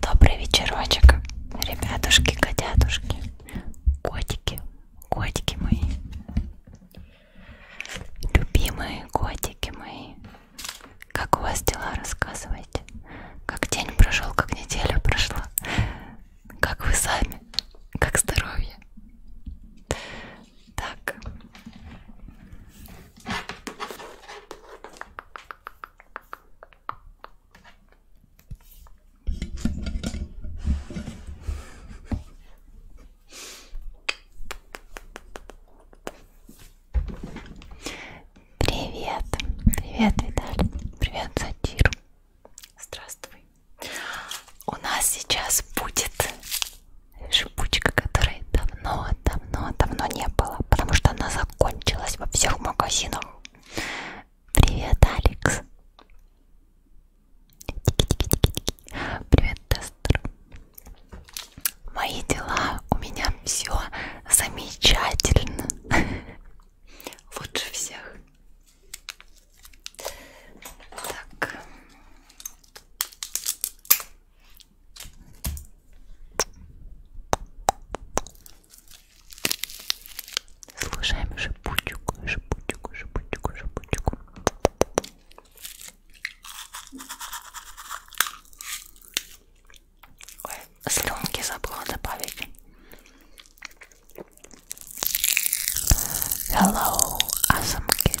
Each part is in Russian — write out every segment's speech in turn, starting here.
Добрый вечерочек, ребятушки, котятушки, котики, котики мои, любимые котики мои. Как у вас дела, рассказывайте? Как день прошел, как неделя прошла? Как вы сами? Как здоровье? Так. Привет, привет, Виталий, привет, Сатир. Здравствуй. У нас сейчас будет шипучка, которой давно, давно, давно не было, потому что она закончилась во всех магазинах. Привет, Алекс. Привет, тестер. Мои дела у меня все замечательно. Лучше всех. Так. Слушаем шипучку, шипучку, шипучку, шипучку. Ой, слюнки забыла добавить. Hello, awesome kid.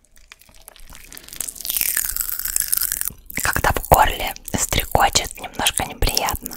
Когда в горле стрекочет, немножко неприятно.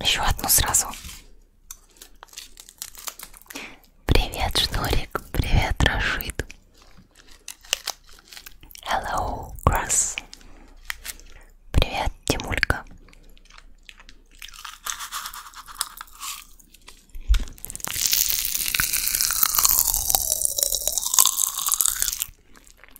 Еще одну сразу. Привет, Шнурик. Привет, Рашид. Hello, Крас. Привет, Тимулька.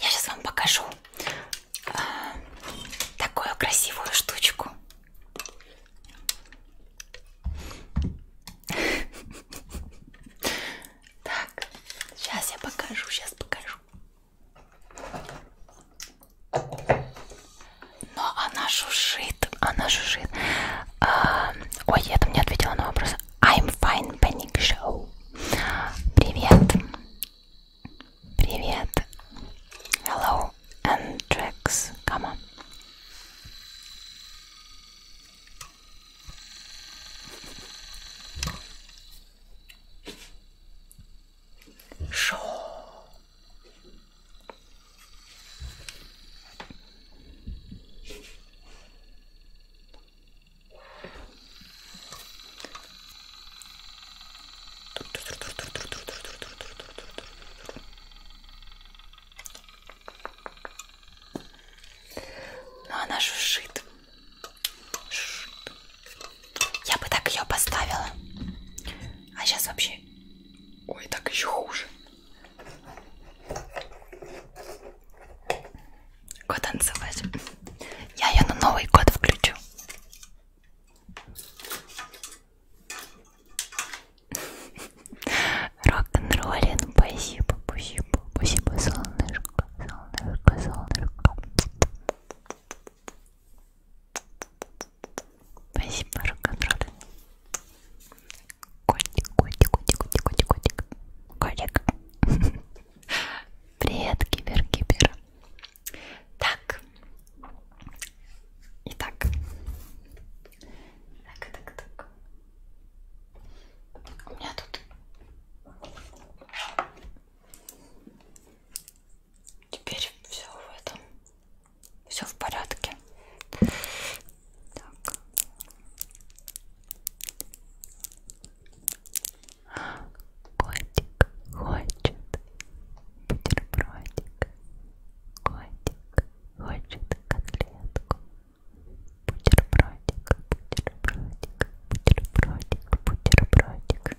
Я сейчас вам покажу э, такую красивую штучку. Так, сейчас я покажу, сейчас покажу. Но она жужжит, она жужжит. А, ой, я там не ответила на вопрос. I'm fine panic show. Привет. Привет. Hello, Andrex. Come on. Шоу. Но ну, она шушит. шушит. Я бы так ее поставила. А сейчас вообще Ой, так еще хуже. Го танцевать. Я ее на Новый год включу. Рок-н-роллин, спасибо, спасибо, спасибо, солнышко, солнышко, солнышко. Спасибо, руконтроль. Котик, котик, котик, котик, котик, котик. Котик. Привет, кибер-кибер. Так. Итак. Так, так, так. У меня тут... Теперь все в этом все в порядке. Так. Котик хочет бутербродик. Котик хочет котлетку. Бутербродик, бутербродик, бутербродик, бутербродик.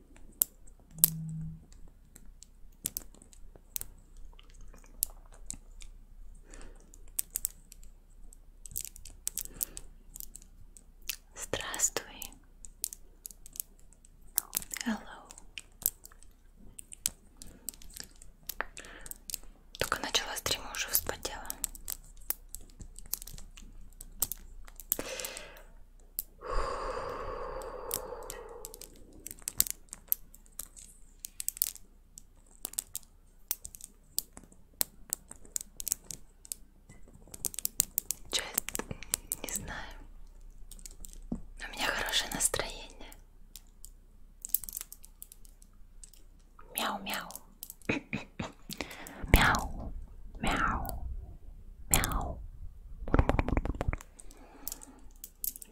Здравствуй. Hello. Только начала стрима, уже вспотела. Часть не знаю. Но у меня хорошее настроение. Мяу-мяу. Мяу. Мяу. Мяу.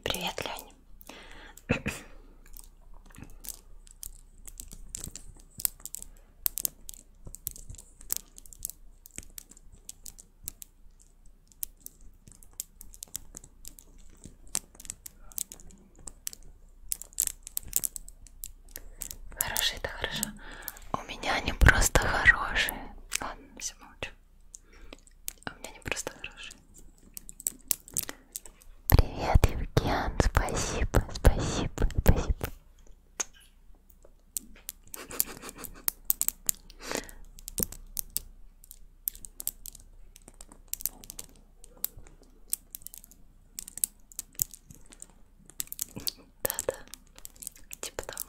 Привет, Лень. Хорошие, это хорошо. У меня они просто хорошие. Ладно, все молчу. А у меня не просто хорошие. Привет, Евген, спасибо, спасибо, спасибо. Да-да, типа того.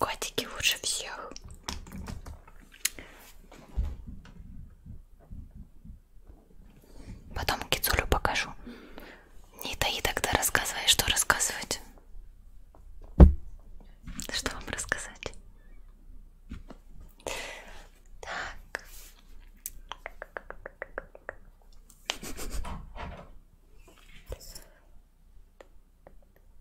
Котики лучше всех. Потом Кицулю покажу. Не таи тогда рассказывай, что рассказывать. Что вам рассказать? Так.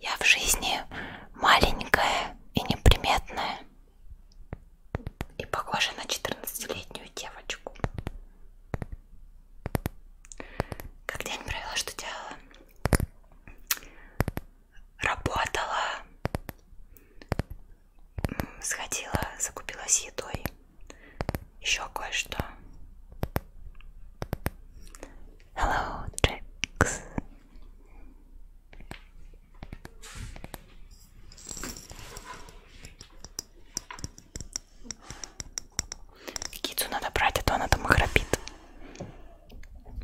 Я в жизни маленькая и неприметная. И похожа на 14-летнюю девочку. Как день провела, что делала? Работала. Сходила, закупилась едой еще кое-что. Hello, Джекс. Кицу надо брать, а то она там храпит.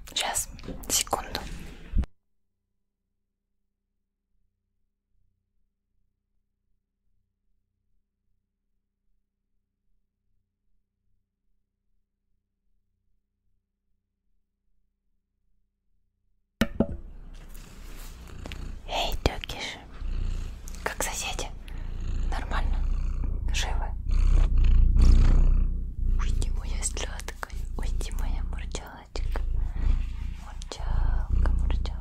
Сейчас, секунду. Эй, Тёкиш, как соседи? Нормально? Живы? Уйди, моя сладкая, уйди, моя мурчалочка. Мурчалка, мурчалка.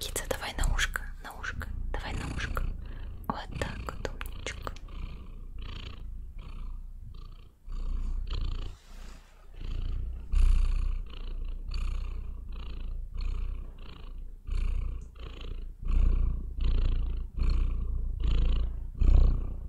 Кица, давай на ушко, на ушко, давай на ушко. Вот так вот, умничка.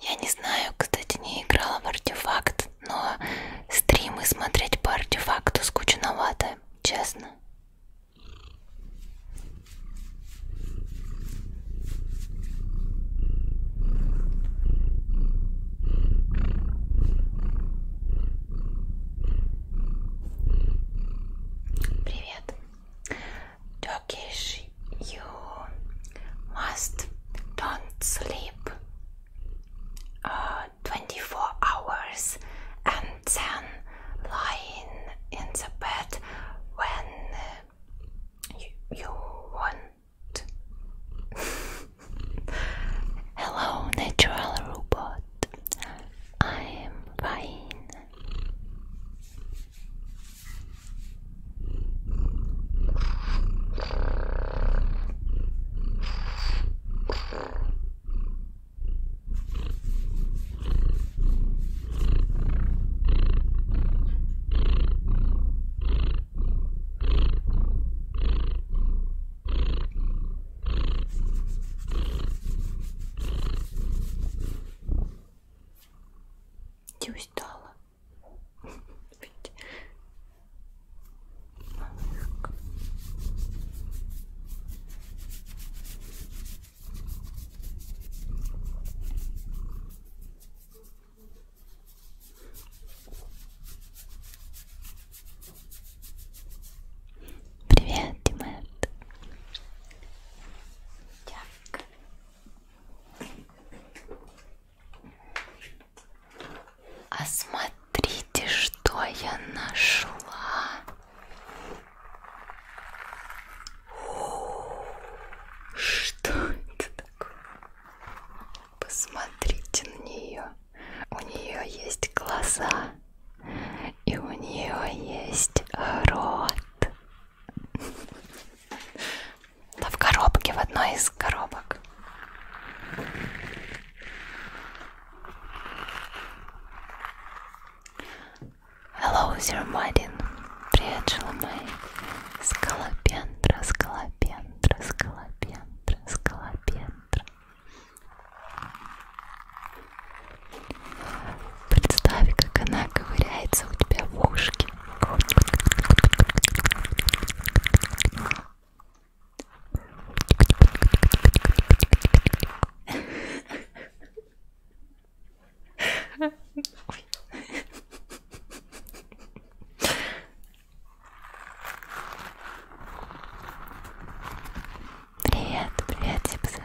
Я не знаю, кстати, не играла в артефакт, но стримы смотреть по артефакту скучновато, честно. Привет. Turkish, you must don't sleep uh, 24 hours and then lying in the bed when you, you want. Hello, natural robot. I am fine. Не устала. Малышка. Привет, Димет. Так. А смотрите, что я нашла. Что это такое? Посмотрите на нее. У нее есть глаза. И у нее есть рот. Да в коробке, в одной из коробок. Hello, Sir Martin. Привет, Шеломай. Скалопендра, скалопендра, скалопендра, скалопендра. Представь, как она ковыряется у тебя в ушке. Ой. Привет, привет, Сипсет.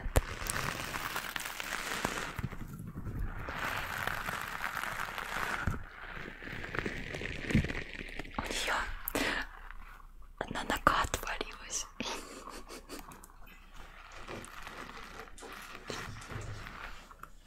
У нее одна нога отвалилась.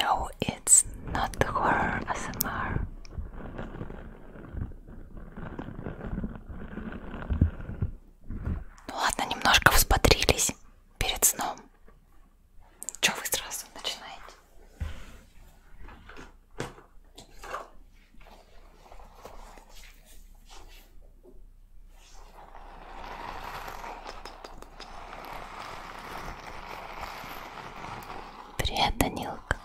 No, it's not horror ASMR. Ну ладно, немножко взбодрились перед сном. Че вы сразу начинаете? Привет, Данилка.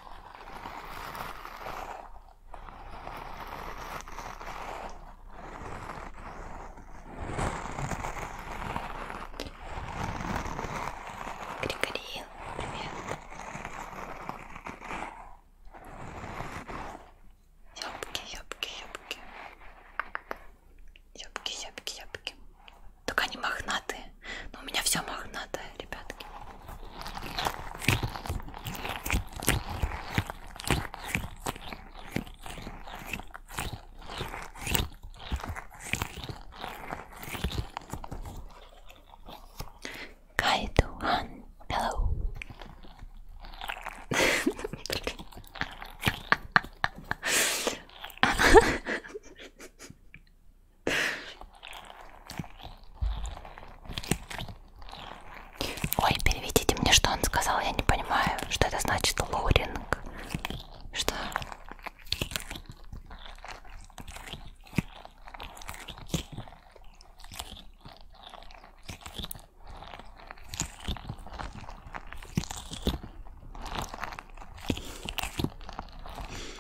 Григорий, привет. Ёбки, ёбки, ёбки. Ёбки, ёбки, ёбки. Только они мохнатые. Но у меня все мохнатое, ребятки. Кайду Хан, hello. Ой, переведите мне, что он сказал, я не понимаю, что это значит лоуринг. Что?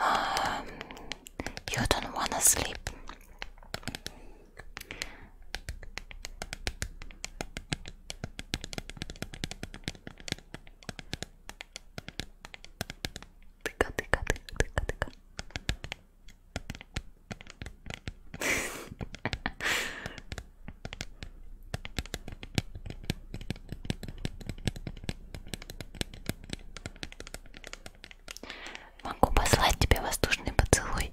Um, you don't wanna sleep. Могу послать тебе воздушный поцелуй.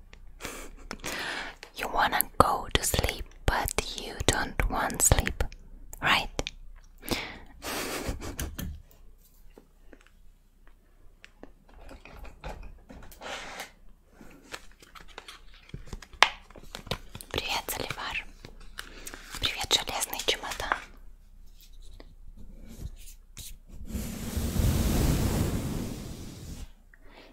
you wanna go to sleep, but you don't want sleep, right? Привет, Заливар. Привет, железный чемодан.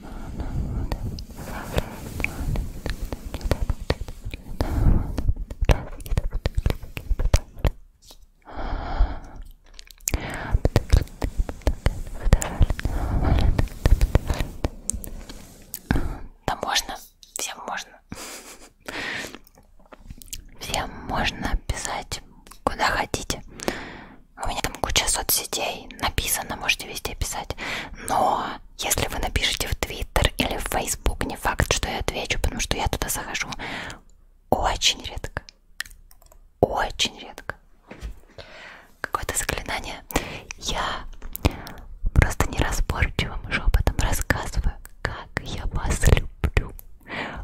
Да можно, всем можно. Всем можно писать куда хотите. У меня там куча соцсетей написано, можете везде писать. Но если вы напишите в Твиттер или в Фейсбук, не факт, что я отвечу, потому что я туда захожу очень редко. Очень редко. Какое-то заклинание. Я просто неразборчивым шепотом рассказываю, как я вас люблю.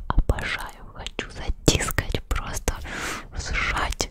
Обожаю, хочу затискать, просто сжать.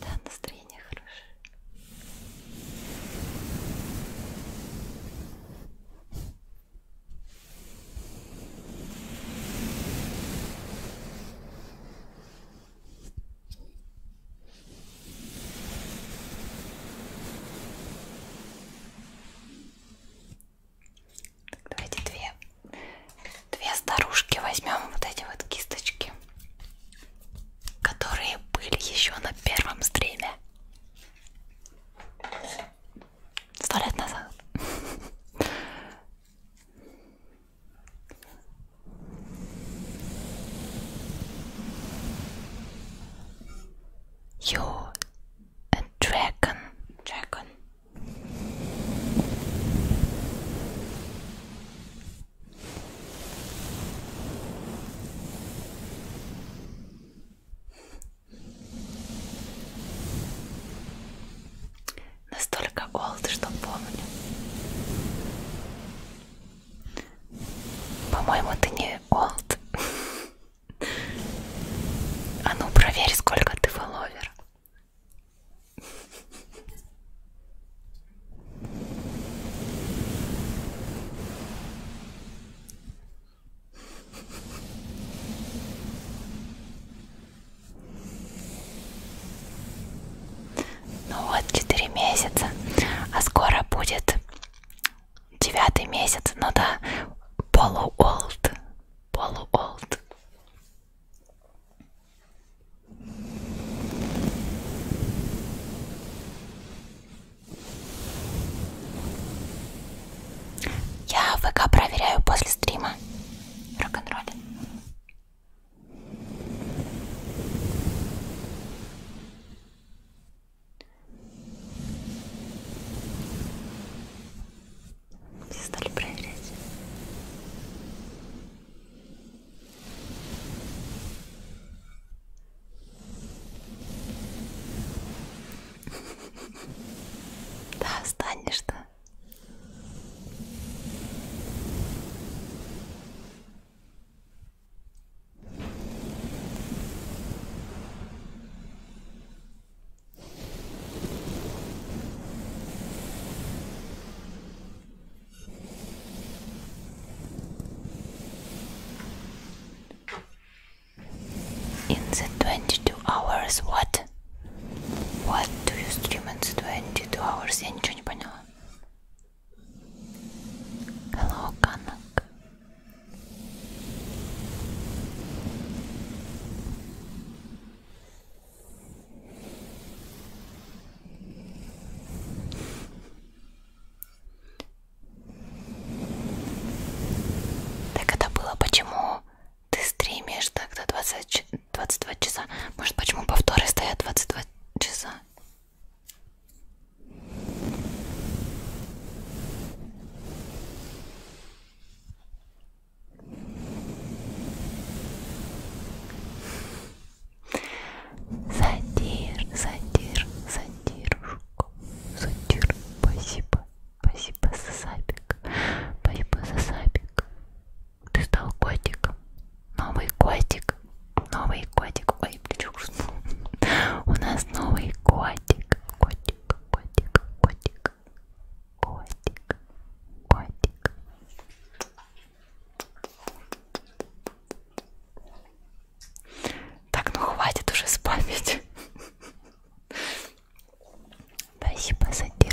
Да, настроение хорошее. Так, давайте две, две старушки возьмем вот эти вот кисточки, которые были еще на первом стриме сто лет назад. Йо, a dragon. Dragon. Настолько old, что помню. По-моему, ты не old. А ну проверь, сколько ты фолловер. Ну вот, 4 месяца, а скоро будет девятый месяц, ну да, полуолд, полуолд. Я ВК проверяю после стрима рок-н-ролля. Все стали проверять. Да, останешься. Ну In the 22 hours, what? What do you stream in the 22 hours? Я ничего не поняла. Hello, Kanak. Так это было почему ты стримишь так до 20, 22 часа? Может почему повторы стоят 22 часа? Задир, задир, задирушку, задир, спасибо, спасибо за сапик, спасибо за сапик. Ты стал котиком, новый котик, новый котик, ой, плечо У нас новый котик, котик, котик, котик, котик, котик. Так, ну хватит уже спамить. Спасибо, Сатир.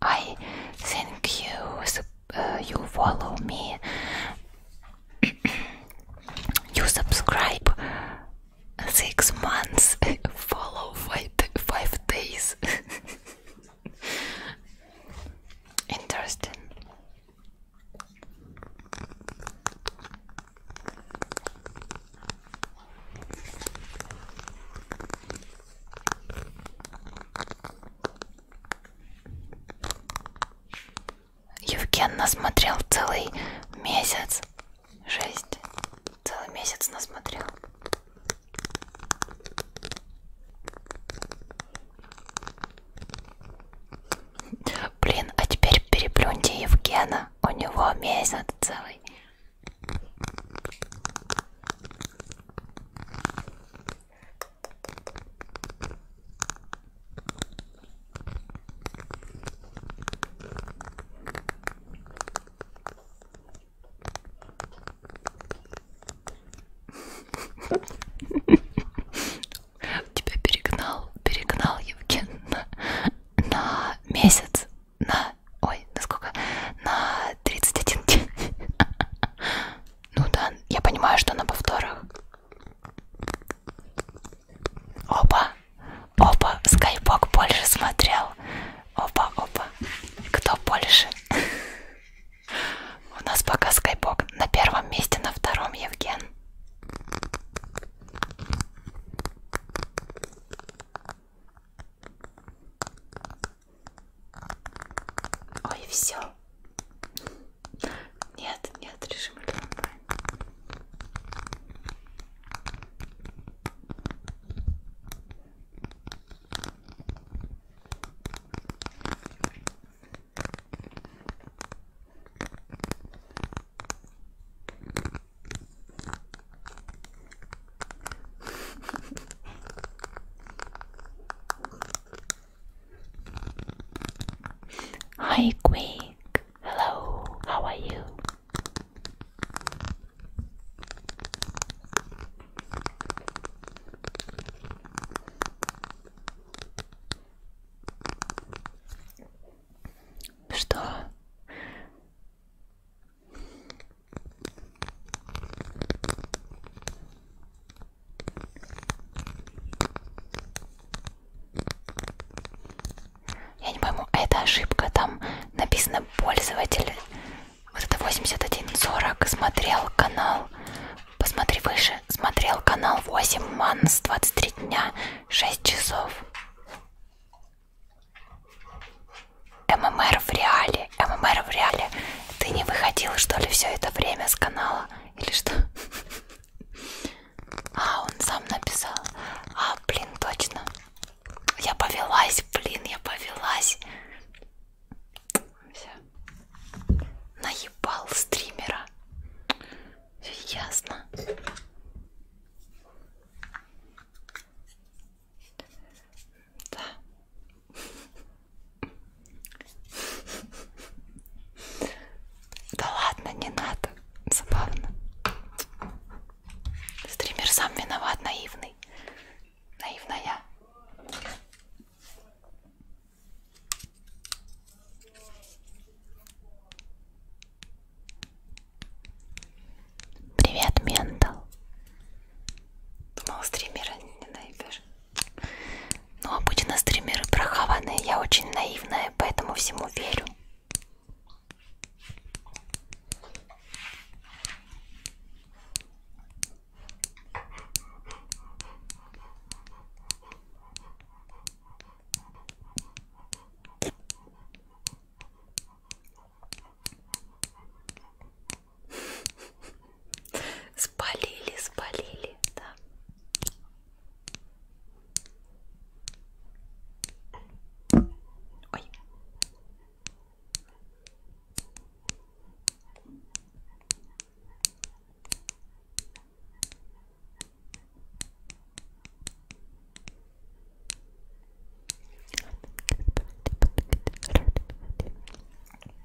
I thank you uh, you follow me. you subscribe six months, follow five days. Interesting. Евген насмотрел целый месяц. Жесть. Целый месяц насмотрел. Блин, а теперь переплюньте Евгена. У него месяц целый. Тебя перегнал, перегнал Евген на, на месяц на... Ой, на сколько? На 31 день. Ну да, я понимаю, что на повторах. Опа, опа, скайпок больше смотрел. Опа, опа, кто больше? У нас пока скайпок на первом месте, на втором Евген. Ой, все. Нет, нет, режим онлайн. Hi, Quake. Hello, how are you? Что? Я не пойму, а это ошибка, там написано пользователь. Вот это 8140 смотрел канал. Посмотри выше. Смотрел канал 8 манс 23 дня 6 часов. ММР в реале, ММР в реале. Ты не выходила, что ли, все это время с канала? Или что? А, он сам написал. А, блин, точно. Я повелась, блин, я повелась. Все. Наебал стримера. Все ясно. Да. Да ладно, не надо. Забавно. Стример сам виноват, наивный. Наивная. Привет, Ментал. Думала, стримера не наебешь. Ну, обычно а стримеры прохаванные, я очень наивная, поэтому всему верю. Спалили, спалили, да. Ой.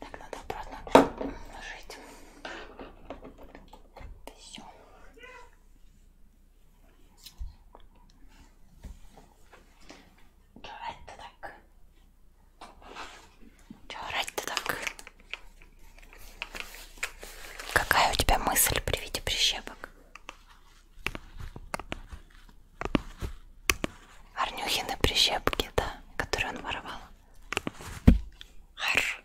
Так, надо обратно жить. Все. Чё орать-то так? Чё орать-то так? Какая у тебя мысль при виде прищепок? Арнюхины прищепки, да, которые он воровал. Хар,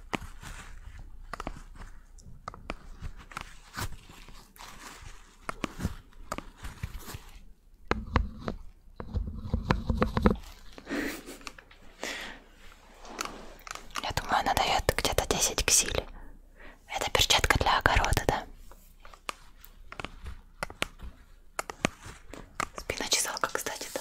Я думаю, она дает где-то 10 ксиль. Это перчатка для огорода, да? Спина чесалка, кстати, да.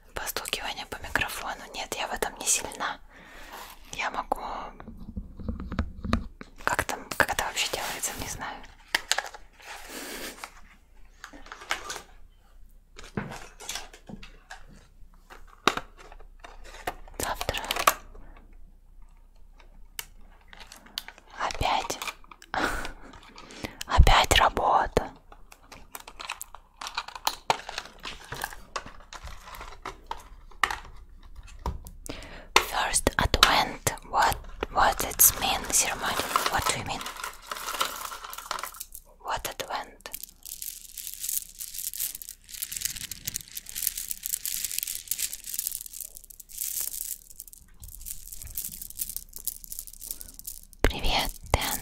постукивание по микрофону. Нет, я в этом не сильна. Я могу... Как там, как это вообще делается, не знаю. Завтра. Опять. Опять работа. First Advent. What what it mean, ceremony? What do you mean? What Advent? Привет, Дэн.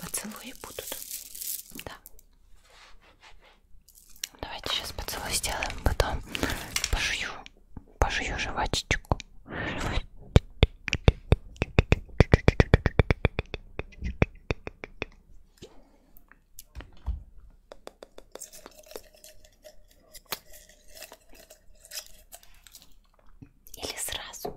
Поцелуи будут. Да. Давайте сейчас поцелуй сделаем, потом пожую, пожую жвачечку. Или сразу.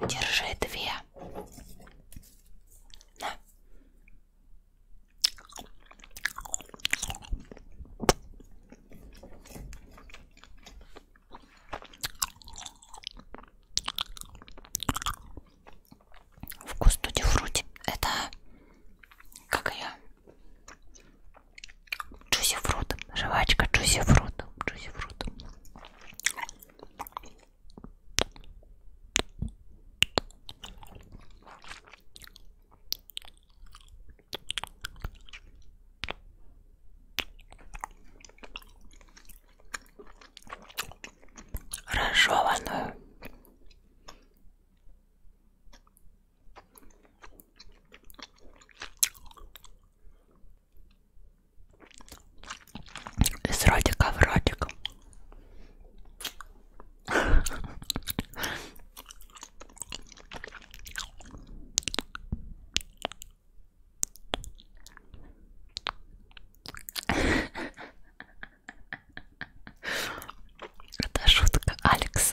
Держи две. На. Вкус туди фрути. Это как ее? Джуси фрут. Жвачка джуси фрут. Джуси фрут разжеванную из ротика в ротик. Это шутка, Алекс.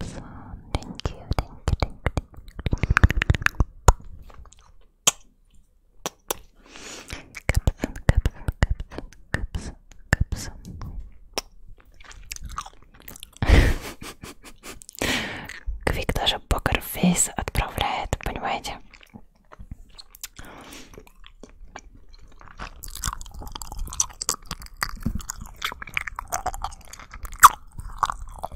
Epsilon. Thank you, thank you, thank you. Капсон, капсон, капсон, капсон, капсон. Квик даже покерфейс отправляет, понимаете?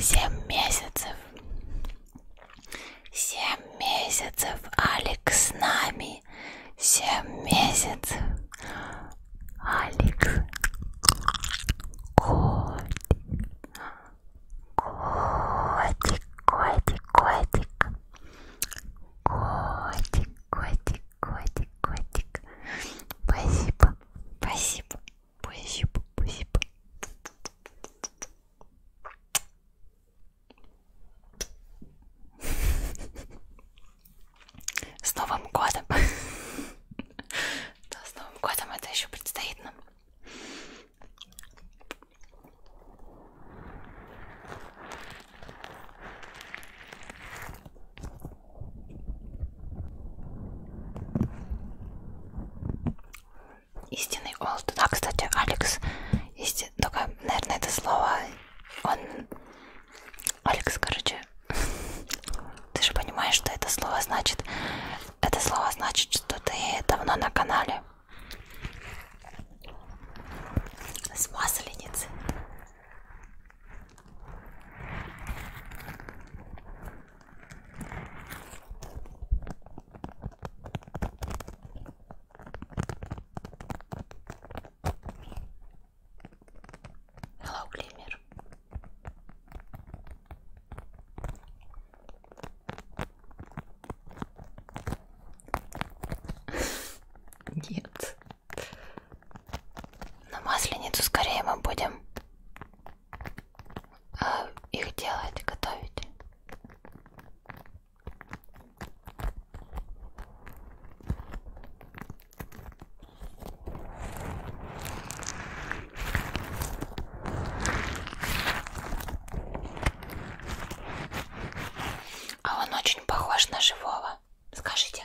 Семь месяцев. Семь месяцев Алекс с нами Ей семь месяцев. Алекс. Котик. Котик, котик, котик. Котик, котик, котик, котик. Спасибо, спасибо, спасибо, спасибо. С Новым годом! Да, с Новым годом это еще предстоит нам. Истинный олд. Да, кстати, Алекс, истин... только, наверное, это слово, он Алекс, короче, ты же понимаешь, что это слово значит. Это слово значит, что ты давно на канале. С масленицы. Hello, Glimmer. Нет. На масленицу скорее мы будем э, их делать, готовить. А он очень похож на живого. Скажите.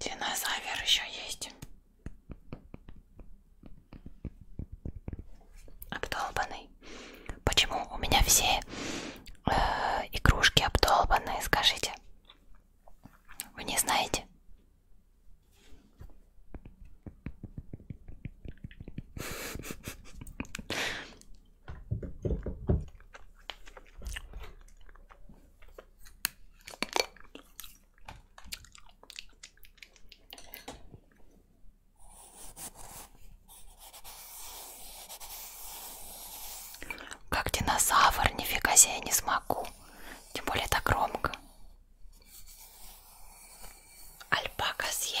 Динозавер еще есть. Обдолбанный. Почему у меня все э, игрушки обдолбанные, скажите? Вы не знаете? Как динозавр, нифига себе, я не смогу. Тем более так громко. Альпака съе.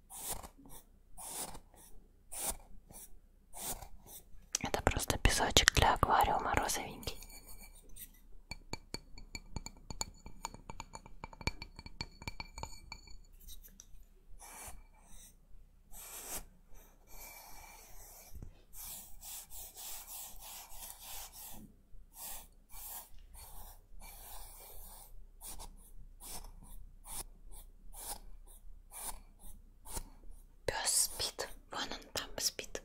Это просто песочек для аквариума розовенький. Пес спит. Вон он там спит.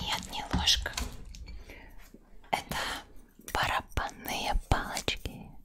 Нет, не ложка. Это барабанные палочки.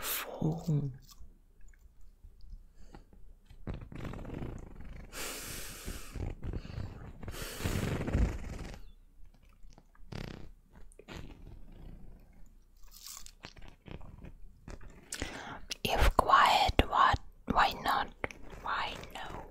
Fall. If quiet, what? Why not? Why no?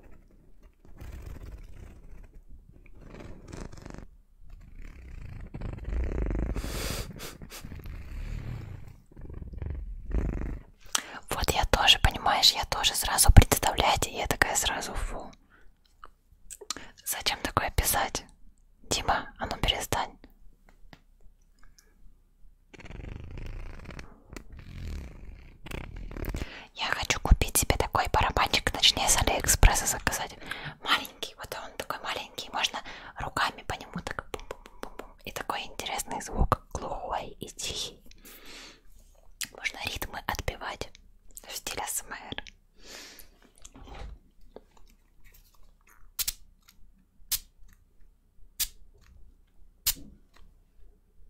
Вот я тоже, понимаешь, я тоже сразу представляете, я такая сразу фу. Зачем такое писать? Дима, а ну перестань. Я хочу купить себе такой барабанчик, точнее с Алиэкспресса заказать. Маленький, вот он такой маленький, можно руками по нему так бум -бум -бум -бум. И такой интересный звук, глухой и тихий. Можно ритмы отбивать в стиле СМР.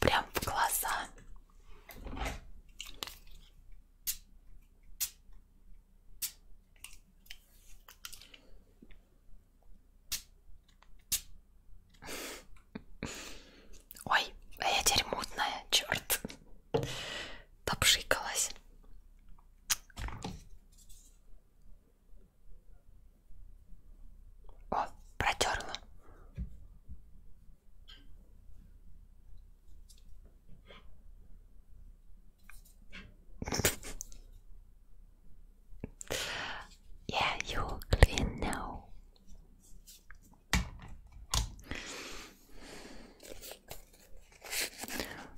Прям в глаза. Ой, а я теперь мутная, черт попшикалась. О, протерла. Yeah, you clean now.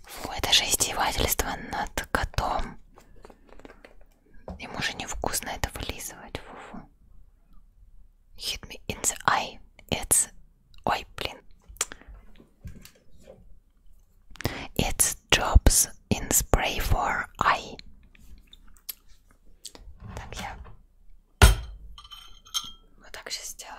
Фу, это же издевательство над котом. Ему же невкусно это вылизывать. Фу -фу. Hit me in the eye. It's... Ой, блин. It's jobs in spray for eye. Так, я вот так сейчас сделаю.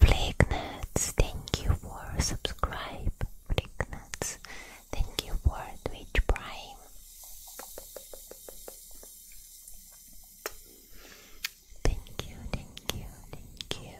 Blicknuts, thank you for subscribe. Blicknuts, thank you for Twitch Prime. Thank you, thank you, thank you.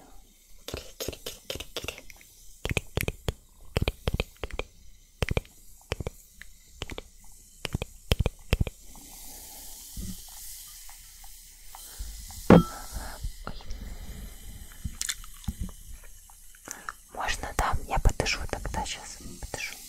Можно там? Я подышу тогда сейчас. Подышу.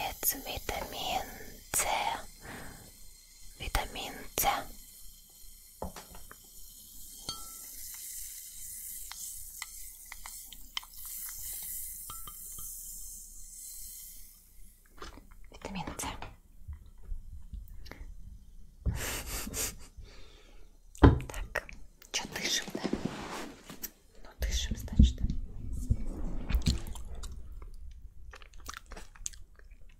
It's vitamin C. Vitamin C. Витамин С. Так, что дышим, да? Ну дышим, значит.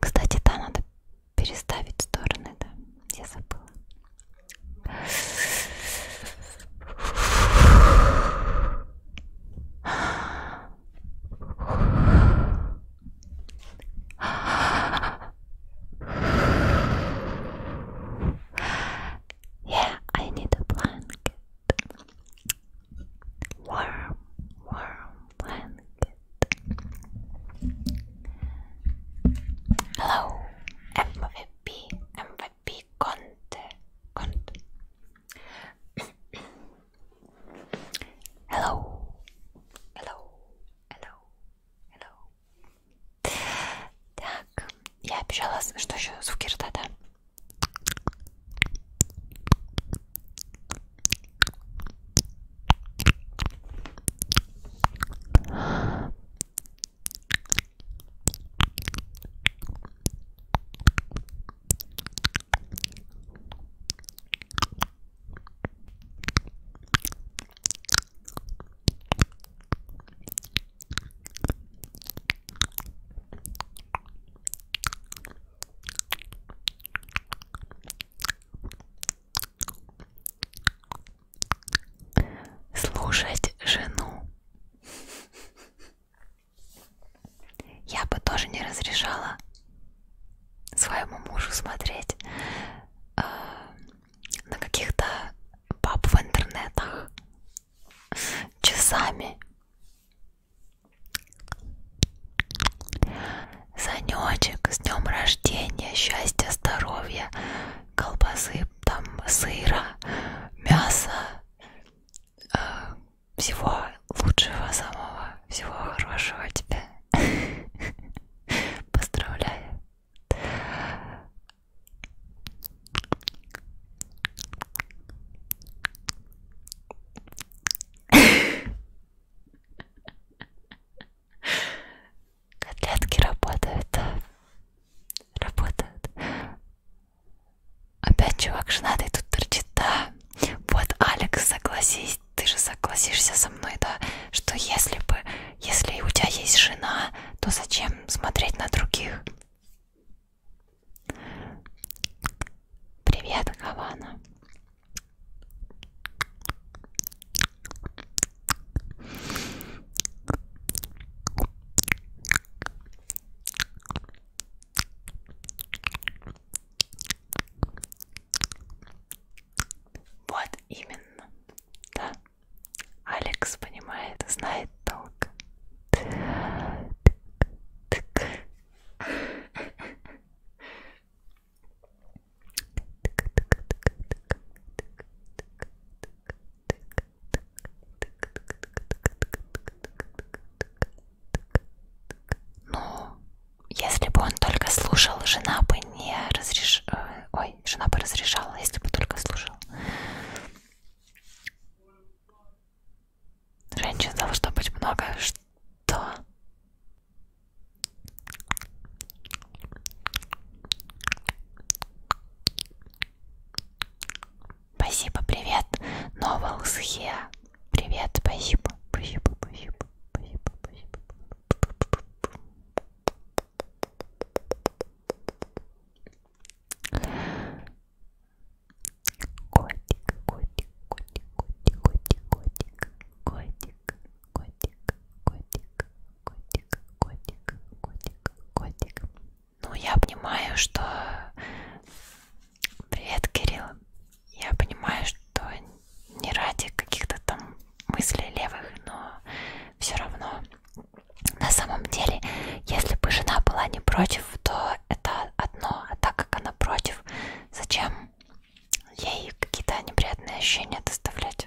Кстати, да, надо переставить стороны, да, я забыла. yeah, I need a blanket. Warm, warm blanket. Hello, MVP, MVP Conte, Conte. hello, hello, hello, Hello. Так, я обещала, что еще звуки рта, да? Слушать жену. Я бы тоже не разрешала своему мужу смотреть э, на каких-то пап в интернетах часами. Санечек, с днем рождения, счастья, здоровья, колбасы, там, сыра, мяса, э, всего лучшего самого, всего хорошего тебе. Поздравляю. Котлетки работают, да. Работают. Опять чувак женатый тут торчит, да. Вот, Алекс, согласись, ты же согласишься со мной, да, что если бы, если у тебя есть жена, то зачем смотреть на других? Привет, Хавана. Вот именно, да. Алекс понимает, знает толк. Ну, если бы он только слушал, жена бы не разрешала, э, ой, жена бы разрешала, если бы только слушал. Женщин должно быть много, что... Спасибо, привет, Новолсхе. Привет, спасибо, спасибо, спасибо, спасибо, спасибо. Котик, котик, котик, котик, котик, котик, котик, котик, котик, котик, котик, котик, котик. Ну, я понимаю, что... Привет, Кирилл. Я понимаю, что то не ради каких-то там мыслей левых, но все равно на самом деле, если бы жена была не против, то это одно, а так как она против, зачем ей какие-то неприятные ощущения доставлять?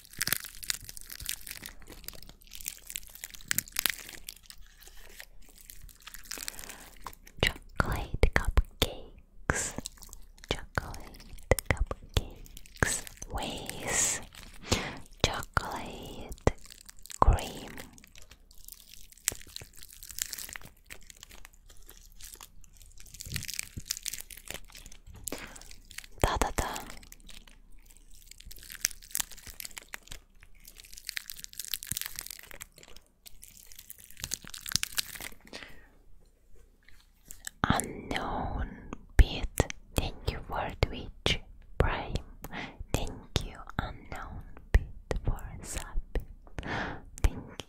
Chocolate cupcakes, chocolate cupcakes, with chocolate cream. Да-да-да, Unknown Pete, thank you for Twitch Prime. Thank you, Unknown Pete, for sub. Thank you.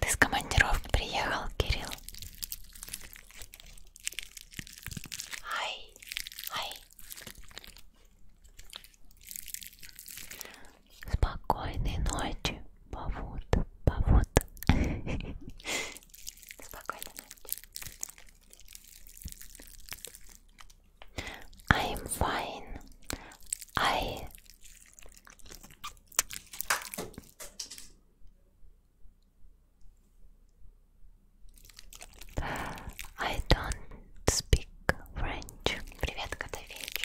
Ты с командировки приехал, Кирилл? Ай, ай. Спокойной ночи, повод, повод. Спокойной ночи. I'm fine. I I don't speak French. Привет, кота вечер.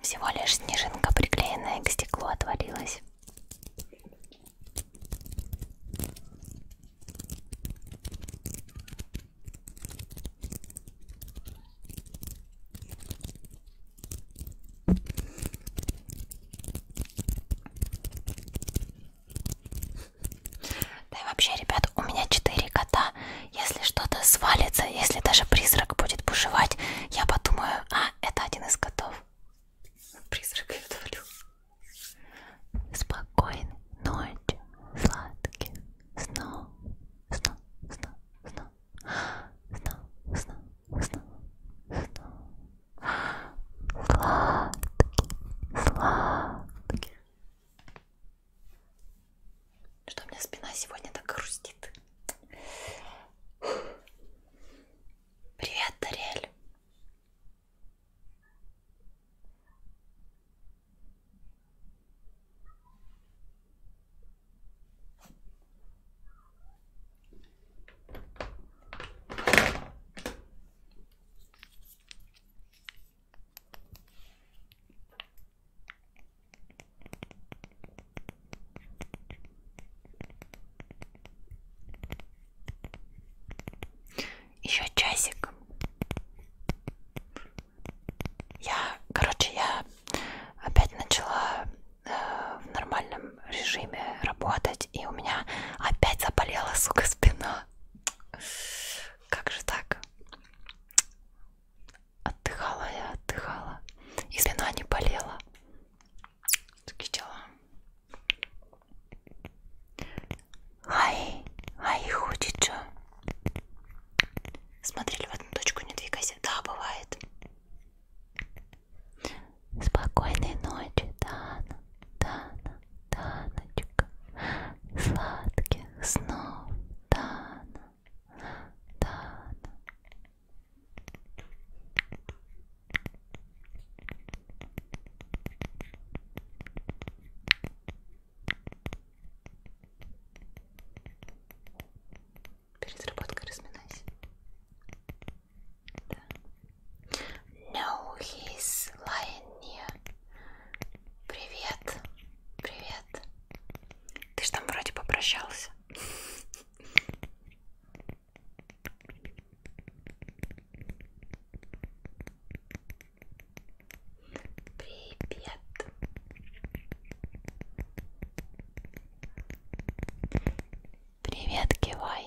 Всего лишь снежинка, приклеенная к стеклу, отвалилась. Да и вообще, ребят, у меня четыре кота. Если что-то свалится, если даже призрак будет бушевать, я подумаю, а, это один из котов. Призрак я отвалю. Спокойной ночи, сладких снов, снов, снов, снов, снов, снов, снов, снов, снов. Сладкий, сладкий. Что у меня спина сегодня так грустит? Привет, Дарель. Еще часик. Я, короче, я опять начала э, в нормальном режиме работать работать, и у меня опять заболела, сука, спина. Как же так? Отдыхала я, отдыхала. И спина не болела. Такие дела. Ай, ай, хочет же. Смотрели в одну точку, не двигайся. Да, бывает. Спокойной ночи, Тана, Тана, Таночка. Сладких снов, Тана, Тана. Перед работкой разминайся. No, he's lying near. Привет. Привет. Ты ж там вроде попрощался. Привет. Привет, кивай.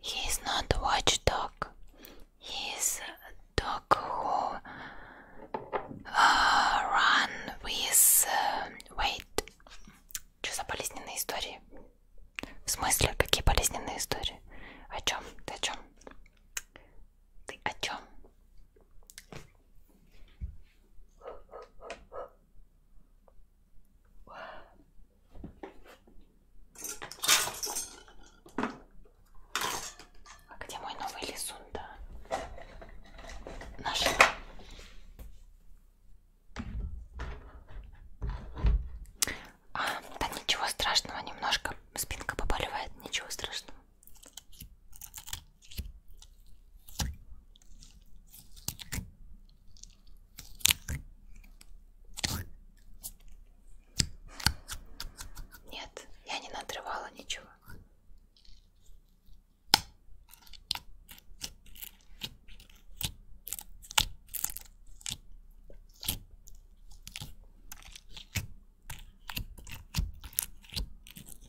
He is not a watchdog. He is a dog who uh, run with uh, weight. Что за болезненные истории? В смысле, какие болезненные истории? О чем? Ты о чем? Ты о чем? А где мой новый лизун, да? Наш. А, да ничего страшного, немножко спинка побаливает, ничего страшного. Нет, я не надрывала ничего.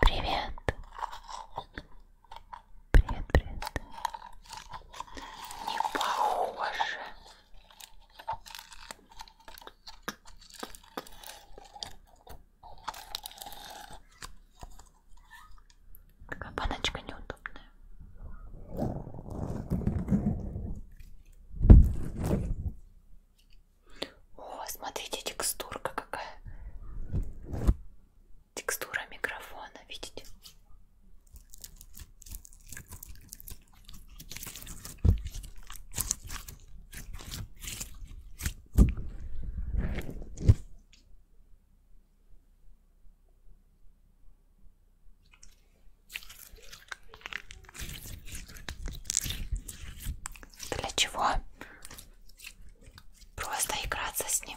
Привет. Привет, привет. Не похоже. Такая баночка неудобная. О, смотрите, текстурка какая. Текстура микрофона, видите? Для чего? Просто играться с ним.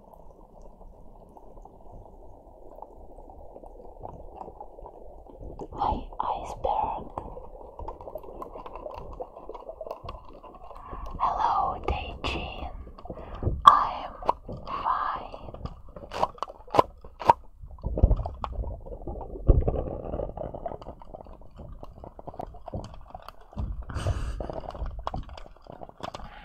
Hi, iceberg. Hello, Daijin. I'm fine.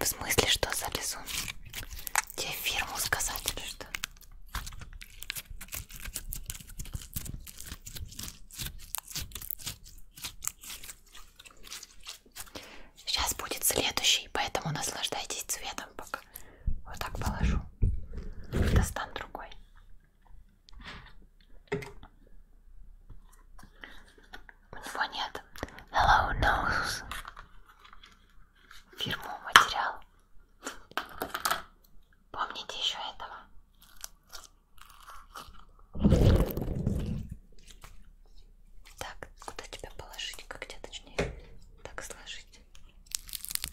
В смысле, что залезу? Тебе фирму сказать или что? Сейчас будет следующий, поэтому наслаждайтесь цветом пока. Вот так положу. Достану другой. У него нет Hello Nose фирму материал. Помните еще этого? Так, куда тебя положить? Как тебя точнее так сложить?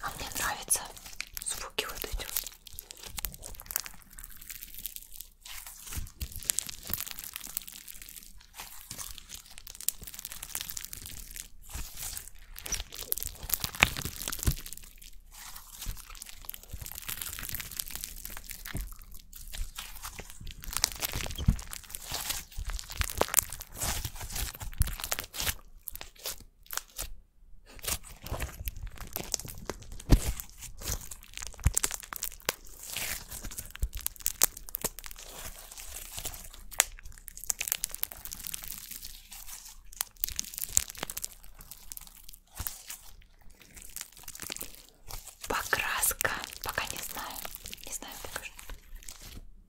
А мне нравятся звуки вот эти. Покраска, пока не знаю, не знаю пока что.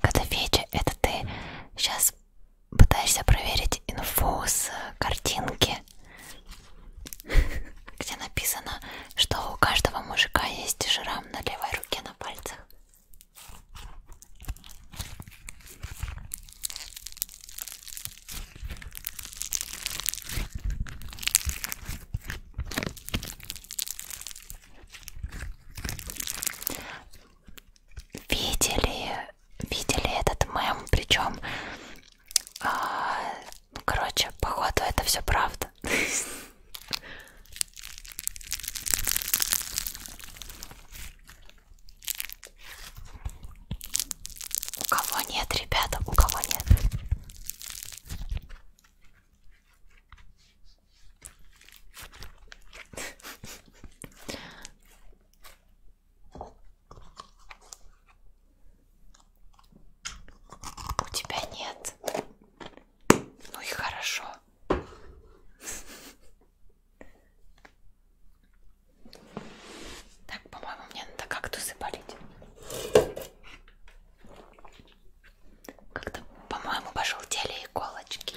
Котофеджи, это ты сейчас пытаешься проверить инфу с э, картинки, где написано, что у каждого мужика есть шрам на левой руке на пальцах. Видели, видели этот мем, причем, а, ну, короче, походу это все правда. У кого нет, ребята, у кого нет. У тебя нет. Ну и хорошо. Так, по-моему, мне надо кактусы полить. Как-то, по-моему, пожелтели иголочки.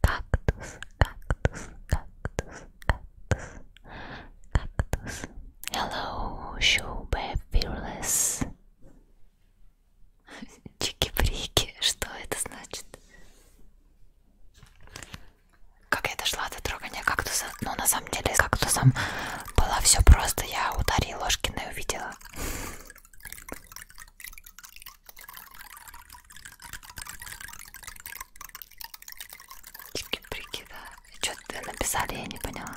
Кактус, кактус, кактус, кактус, кактус. Hello, Showbe Fearless. Чики-брики, что это значит? Как я дошла до трогания кактуса? Ну, на самом деле, с кактусом было все просто. Я ударила ложкиной и увидела. Чики-прики, да. Что-то написали, я не поняла.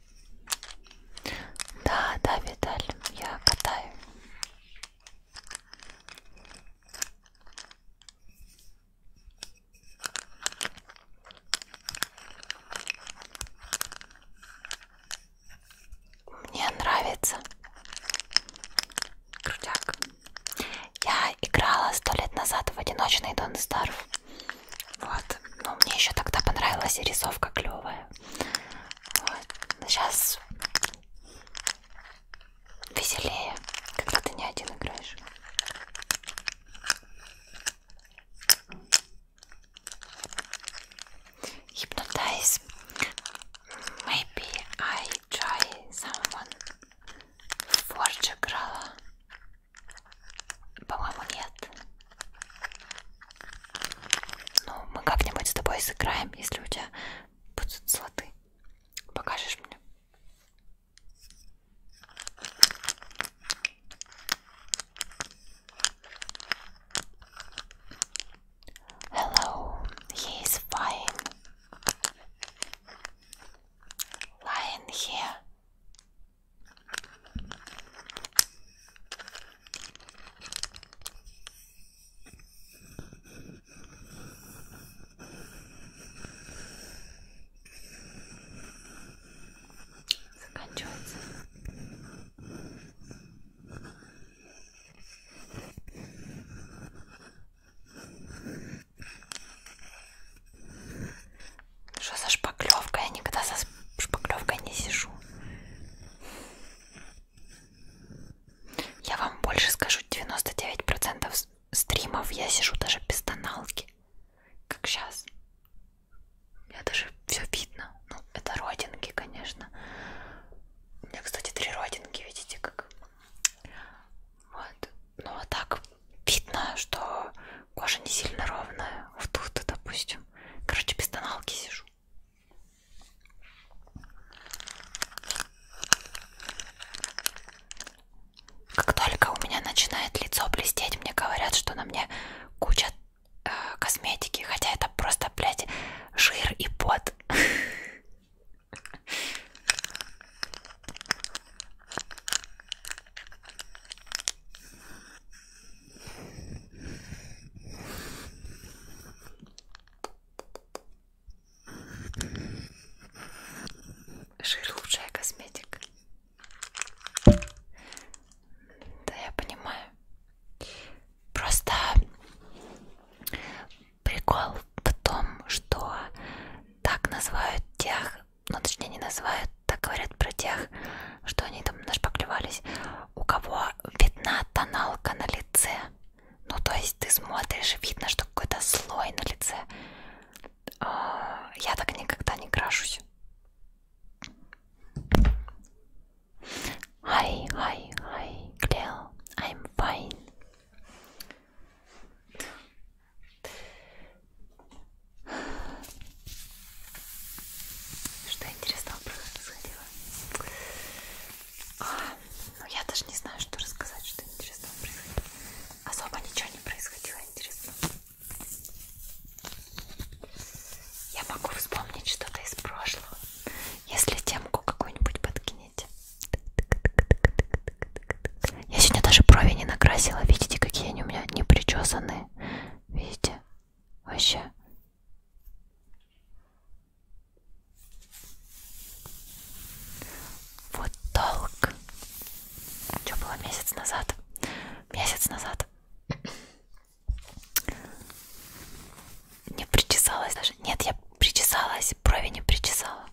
Да, да, Виталь, я катаю. Мне нравится крутяк. Я играла сто лет назад в одиночный Дон Старф. Вот, но мне еще тогда понравилась и рисовка клевая. Вот. Сейчас веселее, когда ты не один играешь. Hypnotize. Maybe I try someone. Forge играла. По-моему, нет. Ну, мы как-нибудь с тобой сыграем, если у тебя будут слоты. Покажешь мне? Hello, he is fine. Lying here. Заканчивается. Что за шпаклевка? Я никогда со шпаклевкой не сижу. Я вам больше скажу, 99% стримов я сижу даже без тоналки, как сейчас. Я даже все видно. Ну, это родинки, конечно. У меня, кстати, три родинки, видите, как... Вот. Ну, а так видно, что кожа не сильно ровная. Вот тут, допустим. Короче, без тоналки сижу тушь. Как только у меня начинает лицо блестеть, мне говорят, что на мне куча э, косметики, хотя это просто, блядь, жир и пот. Жир лучшая косметика. Да, я понимаю. Просто прикол в том, что так называют тех, ну точнее не называют, так говорят про тех, что они там нашпаклевались у кого видна тоналка на лице. Ну, то есть ты смотришь, видно, что какой-то слой на лице. А, я так никогда не крашусь. Hi, hi, hi, Cleo. I'm fine. Что интересного происходило? А, ну я даже не знаю, что рассказать, что интересного происходило. Особо ничего не происходило интересного. Я могу вспомнить что-то из прошлого. Если темку какую-нибудь подкинете. Я сегодня даже брови не накрасила. Видите, какие они у меня не причесанные. Видите? Вообще вот толк. Что было месяц назад? Месяц назад. Не причесалась даже. Нет, я причесалась, брови не причесала.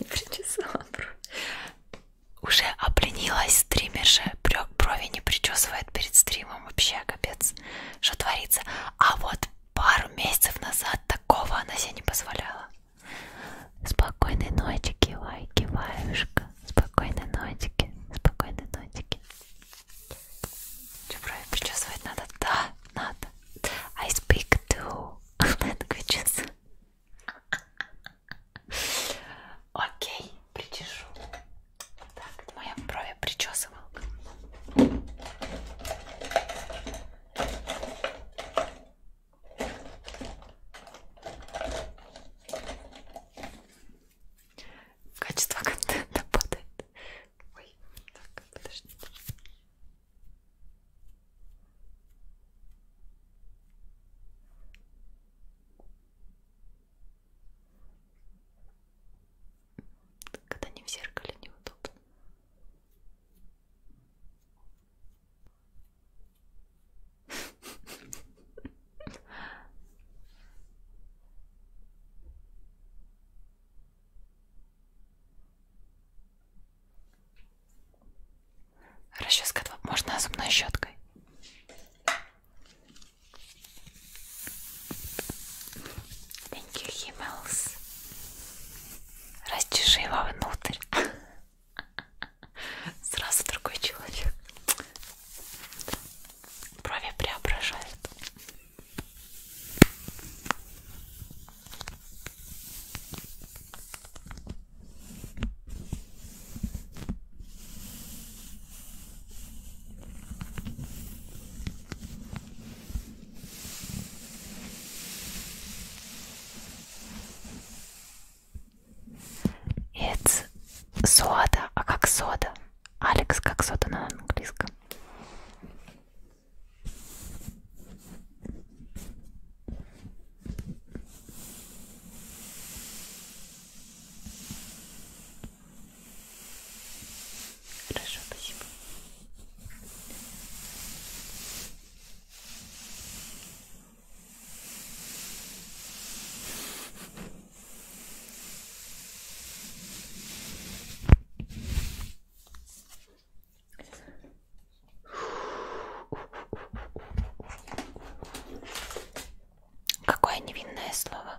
Не причесала брови. Уже обленилась стримерша, брови не причесывает перед стримом вообще капец что творится а вот пару месяцев назад такого она себе не позволяла спокойной ночи кивай киваюшка спокойной ночи спокойной ночи что брови причесывать надо да надо I speak two languages Окей причешу. Так, моя брови причесывал. Качество контента падает. Ой, так, подожди. Когда не в зеркале неудобно. Расческа можно зубной щеткой. Thank you, Himmels. Растяжи вовнутрь. Сразу другой человек. Брови преображают. It's soda, а как сода? Алекс как сода на английском. Хорошо, спасибо. Какое невинное слово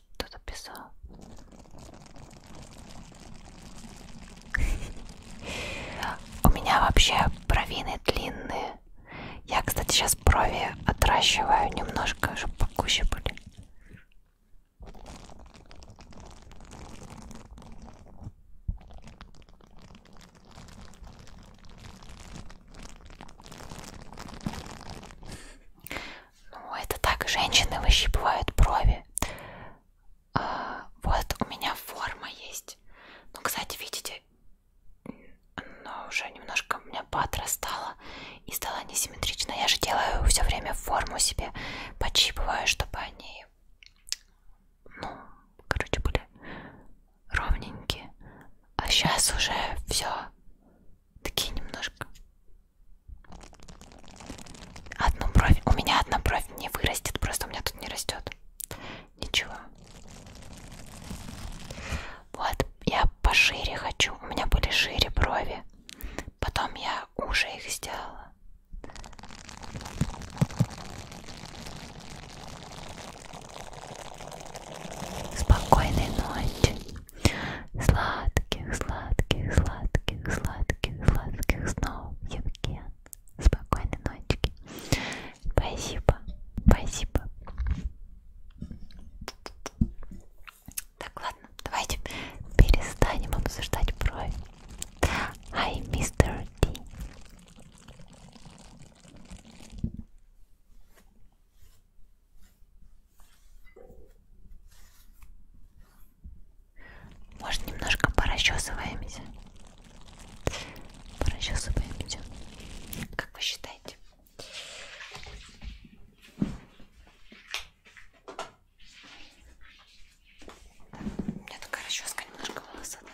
что-то писал. У меня вообще бровины длинные. Я, кстати, сейчас брови отращиваю немножко, чтобы покуще были. Ну, это так, женщины выщипывают брови. А, вот у меня форма есть. Ну, кстати, видите, она уже немножко у меня поотрастала и стала несимметрична. Я же делаю все время форму себе, подщипываю, чтобы они, ну, короче, были ровненькие. А сейчас уже все такие немножко. Одну бровь. У меня одна бровь не вырастет, просто у меня тут не растет. Ничего. Вот, я пошире хочу. У меня были шире брови. Потом я уже их сделала. Спокойной ночи. Сладких, сладких, сладких, сладких, сладких снов, Евген. Спокойной ночки. Спасибо, спасибо. Так, ладно, давайте перестанем обсуждать брови. Ай, мистер Ди. Может, немножко порасчесываемся? Порасчесываемся. Как вы считаете? У меня такая расческа немножко волосатая.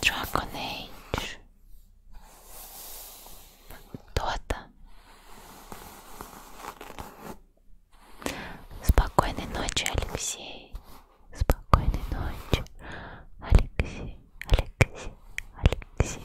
Dragon Age Дота Спокойной ночи, Алексей Спокойной ночи, Алексей, Алексей, Алексей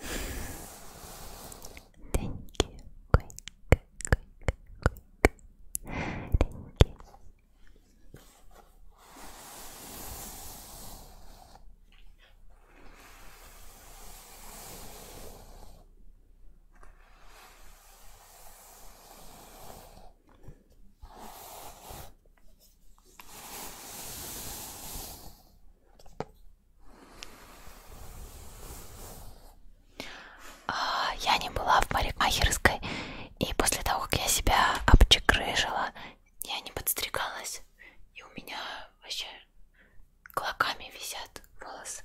Thank you. Quick, quick, quick, quick. Thank you. А, я не была в парикмахерской, и после того, как я себя обчекрыжила, я не подстригалась, и у меня вообще клоками висят волосы.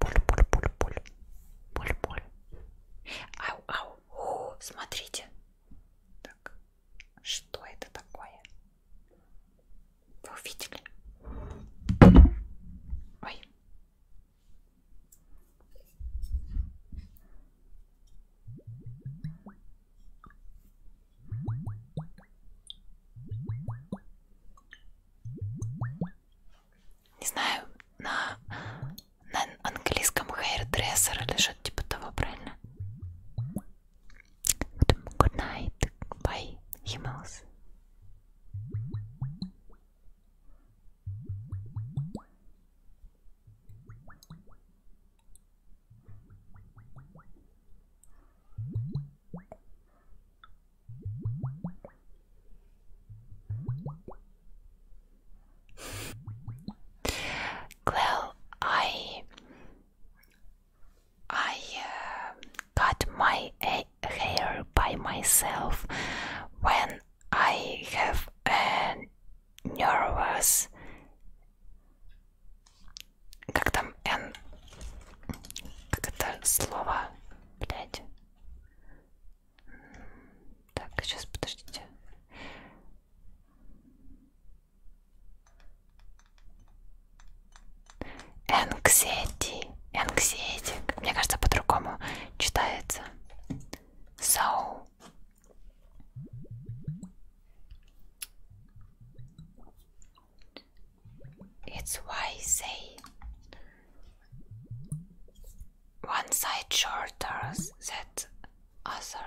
Боль, боль, боль, боль. Боль, боль. Ау, ау. О, смотрите. Так. Что это такое? Вы увидели? Ой. Не знаю, на, на английском hairdresser или что-то типа того, правильно? Good night, bye, Himmels. well, I I uh, cut my hair by myself when I have a nervous. Как там N? Как блять. Так, сейчас подождите. Anxiety, anxiety. Мне кажется, по-другому читается. So. It's why say one side shorter than other.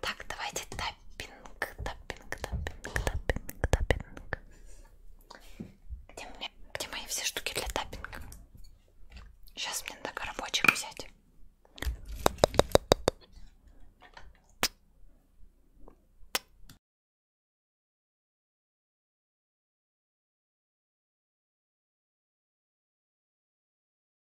Так, давайте таппинг, таппинг, таппинг, таппинг, таппинг. Где, мне, где мои все штуки для таппинга? Сейчас мне надо коробочек взять.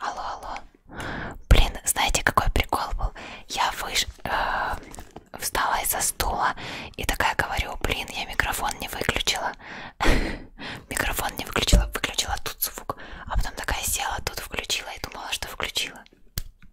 Алло, алло. Блин, знаете, какой прикол был? Я выш... Э, встала из-за стула и такая говорю, блин, я микрофон не выключила. Микрофон не выключила, выключила тут звук. А потом такая села, тут включила и думала, что включила.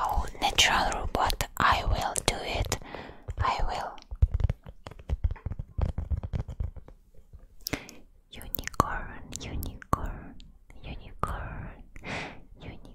Oh, natural robot, I will do it. I will. Unicorn, unicorn, unicorn, unicorn,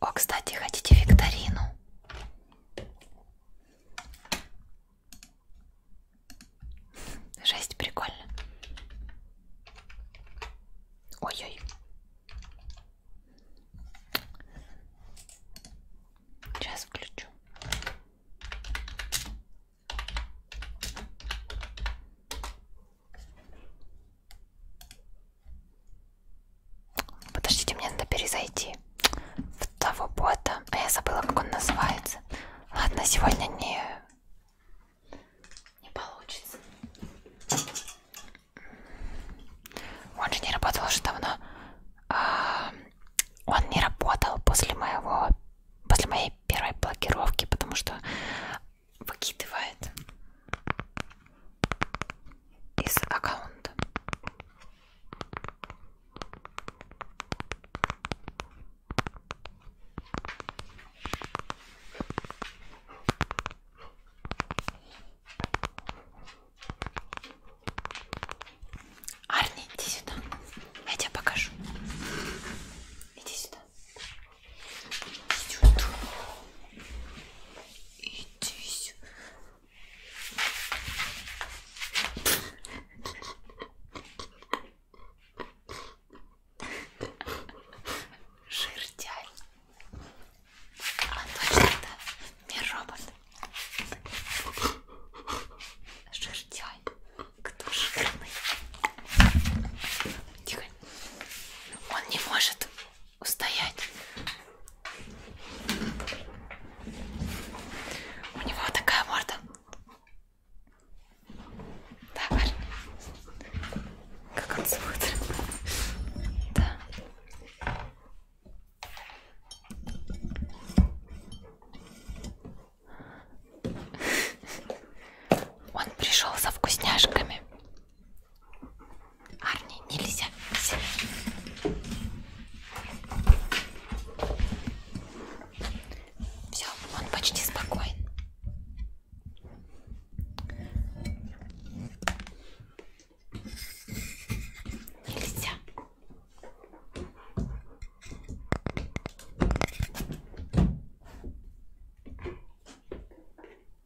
О, кстати, хотите викторину? Жесть, прикольно. Ой-ой. Сейчас включу. Подождите, мне надо перезайти в того бота. А я забыла, как он называется. Ладно, сегодня не... Не получится. Он же не работал уже давно. А, он не работал после моего... После моей первой блокировки, потому что выкидывает из аккаунта. Арни, иди сюда. Я тебе покажу. Иди сюда. Иди сюда. Иди сюда. Жиртяй. А точно это не робот. Жиртяй. Кто жирный? Тихо. Он не может устоять. У него такая морда. Да, парень. Как он зовут? Да. Он пришел со вкусняшками. Арни, нельзя. Все, он почти спокоен. Нельзя.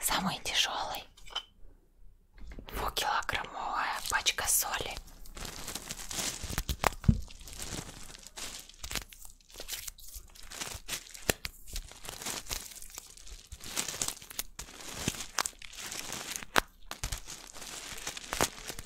Самый тяжелый. Двухкилограммовая пачка соли.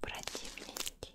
противненький.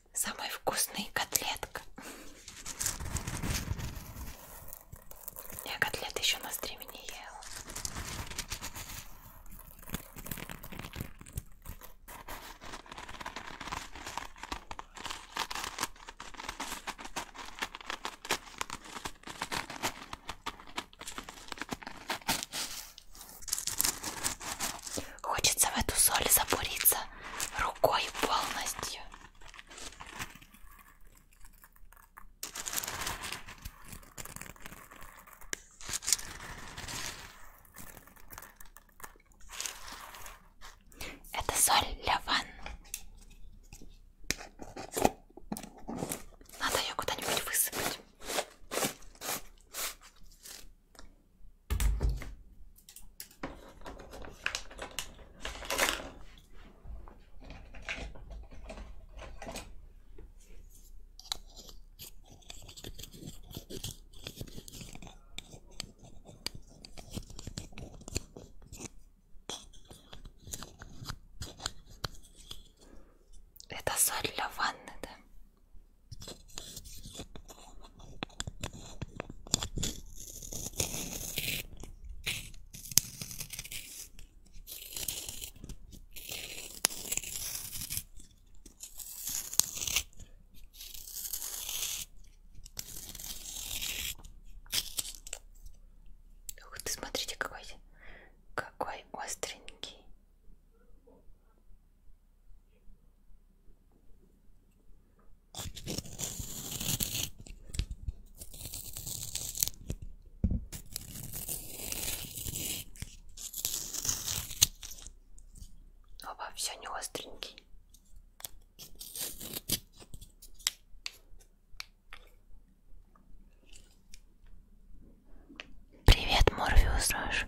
самая вкусная котлетка. Я котлет еще на стриме не ела. Хочется в эту соль забуриться рукой полностью. Это соль для ванн. Надо ее куда-нибудь высыпать. Это соль для ванны, да? Ух ты, смотрите, какой какой остренький. Оба все не остренький. Привет, Морфеус Рож.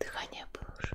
Дыхание было уже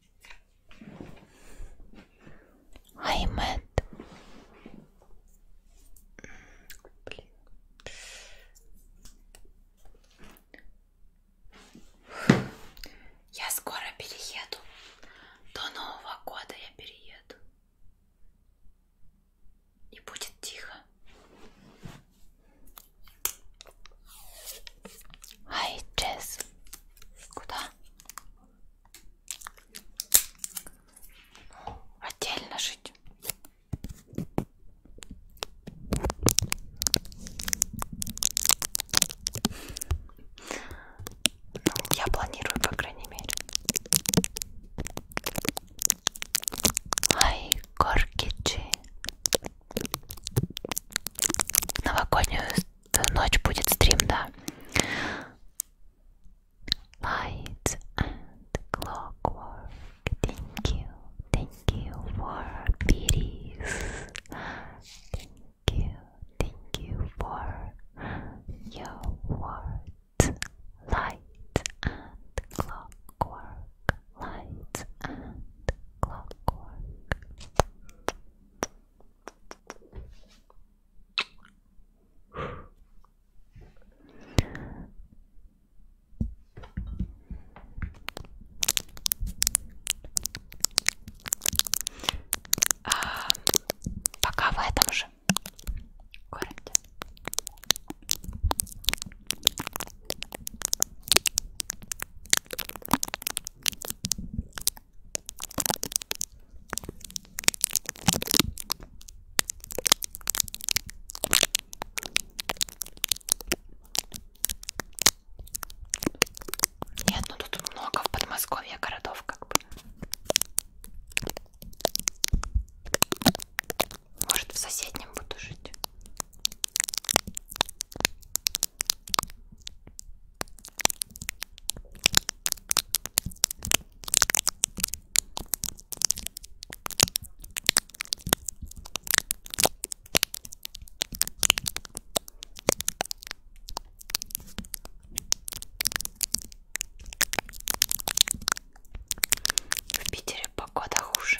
I met. Блин. Я скоро перееду. До Нового года я перееду. И будет тихо. Ай, Джесс. Куда? отдельно жить. Ну, я планирую, по крайней мере. Ай, горки Новогоднюю Э, ночь будет стрим, да. Lights and clockwork. Thank you. Thank you for your words. Light and clockwork. Light and clockwork. А, пока в этом же городе. Нет, ну тут много в Подмосковье городов как бы. Может, в соседнем буду жить. В Питере погода хуже.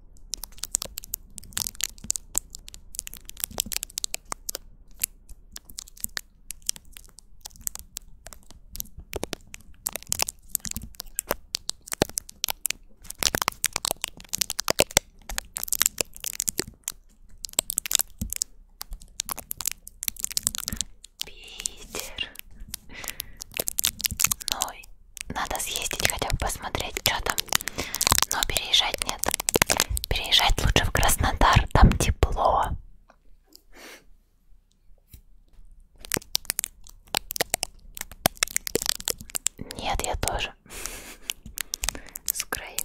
Питер. Ну, надо съездить хотя бы посмотреть, что там но переезжать нет. Переезжать лучше в Краснодар, там тепло. Нет, я тоже. С Украины.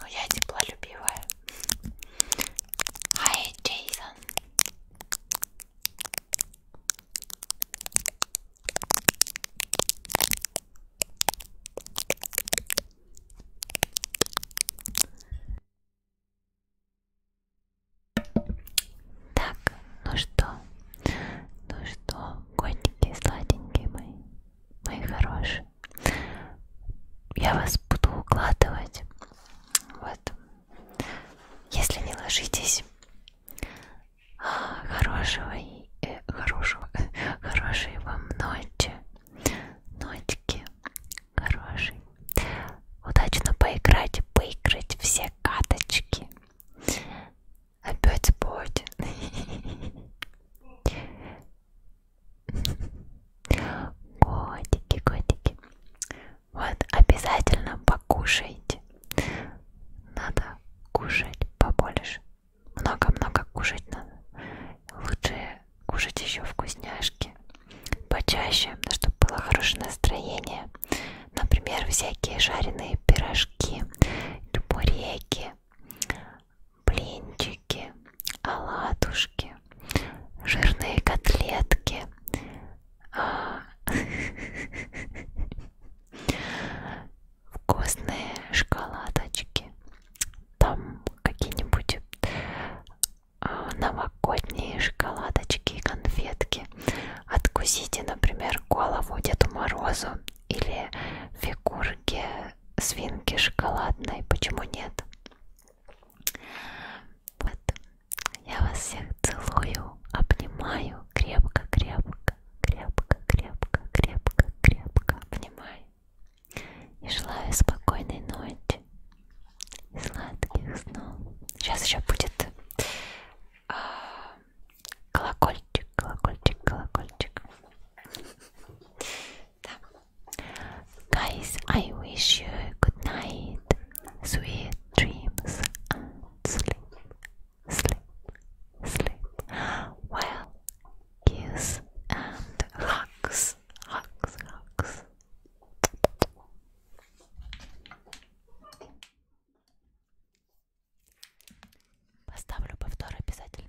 Ну я теплолюбивая. Hi, Джейсон. Так, ну что, ну что, котики сладенькие мои, мои хорошие, я вас буду укладывать, вот, если не ложитесь, Хорошего и э, хорошего, хорошей вам ночи, ночки, хорошей. Удачно поиграть, поиграть все каточки. Опять будет. Котики, котики. Вот обязательно покушайте. Надо кушать побольше много-много кушать надо. Лучше кушать еще вкусняшки почаще, чтобы было хорошее настроение. Например, всякие жареные пирожки, чебуреки, блинчики, оладушки, жирные котлетки. А, вкусные шоколадочки, там какие-нибудь а, новогодние шоколадочки и конфетки. Откусите, например, голову Деду Морозу или фигурки свинки шоколадной. Почему нет? Вот. Я вас всех целую, обнимаю крепко-крепко крепко, крепко, крепко, крепко обнимай. И желаю спокойной ночи и сладких снов. Сейчас еще будет а, колокольчик, колокольчик, колокольчик. да. Guys, I wish you good night, sweet dreams and sleep, sleep, sleep well kiss and hugs, hugs, hugs. Поставлю повтор обязательно.